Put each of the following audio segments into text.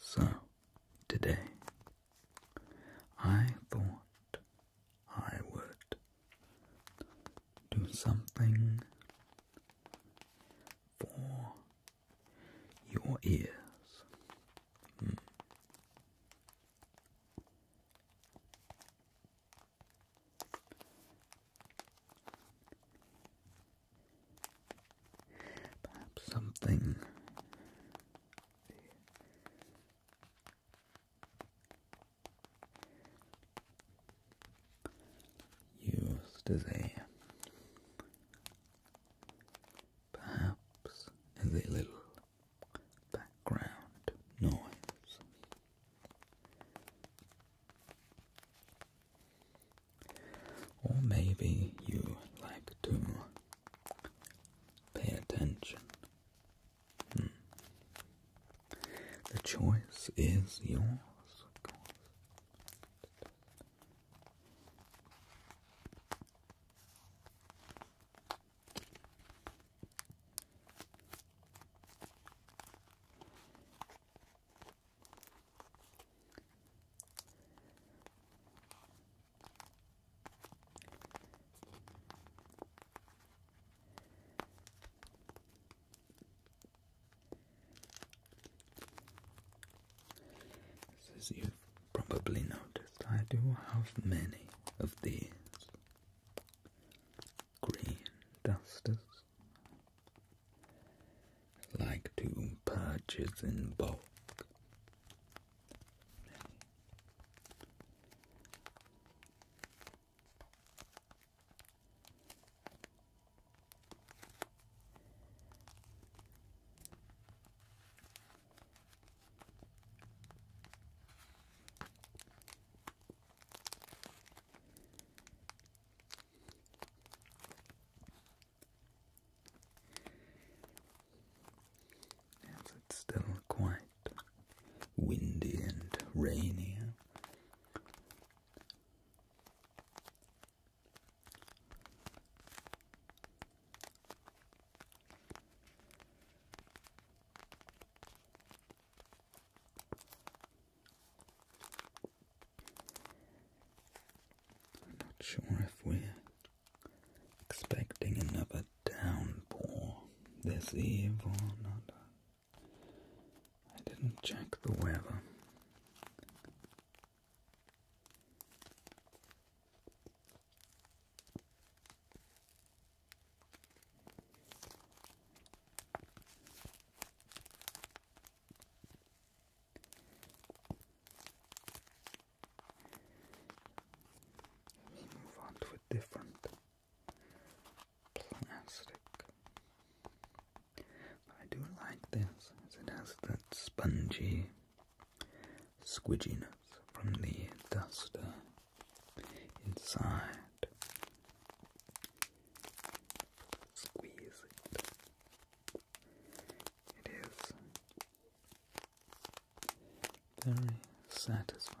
So, today I thought I would do something for your ears. Hmm. Perhaps something used as a perhaps as a little background noise. Or maybe you like to pay attention. Hmm. The choice is yours, as you've probably noticed, I do have many of these green dusters like to purchase in bulk. As it's still quite windy and rainy. I'm not sure if we're expecting another downpour this evening. I didn't check the weather. Let's move on to a different plastic. I do like this it has that spongy squigginess from the duster inside. Squeeze it. It is very satisfying.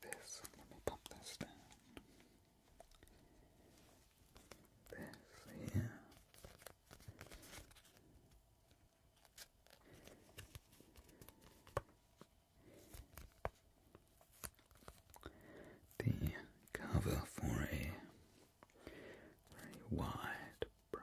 This, let me pop this down. This here. The cover for a very wide brush.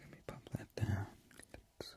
Let me pop that down. let this.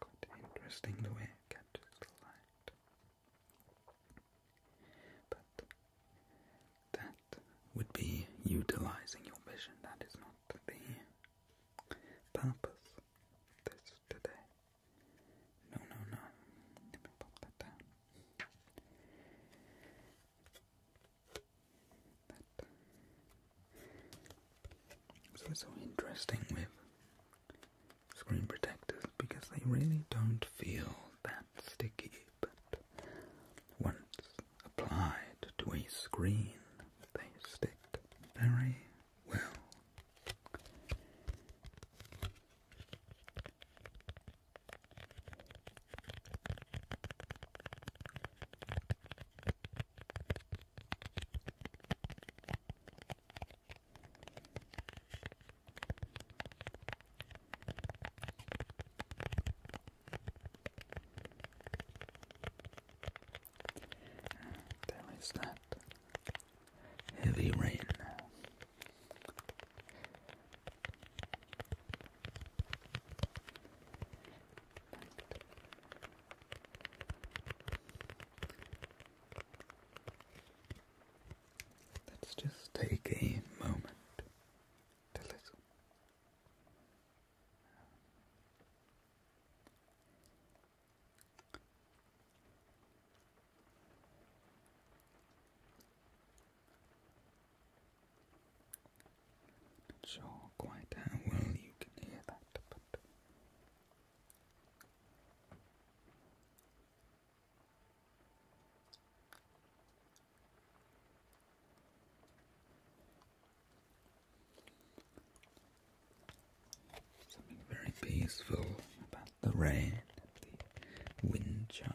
Quite interesting the way it catches the light. But that would be utilizing your vision, that is not the purpose this today. No, no, no. Let me pop that down so it's so interesting with screen protectors because they really don't feel that sticky, but once applied to a screen, they stick very well. There is that heavy rain Let's just take a moment to listen. Not sure quite how uh, well you can hear that, but something very peaceful about the rain and the wind chimes.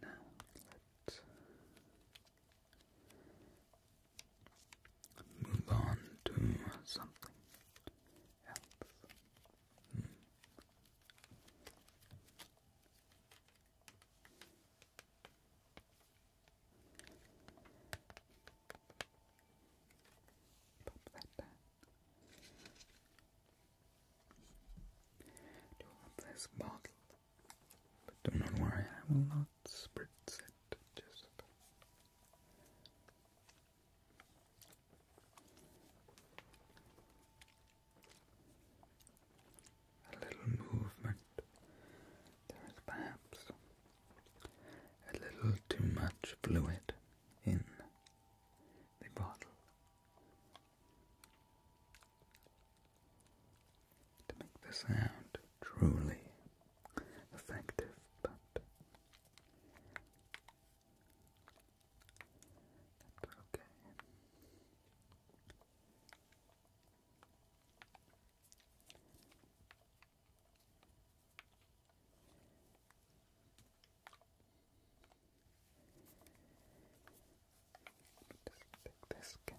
Now let's move on to something else. Hmm. Pop that down. Do all this bottle. But do not worry, I will not spritz it. Just a little movement. There is perhaps a little too much fluid in the bottle to make the sound truly effective, but that's okay. Just take this cap.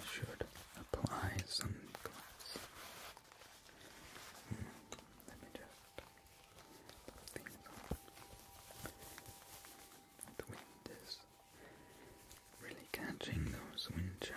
Feel I should apply some gloves. Hmm, let me just the wind is really catching those wind chimes.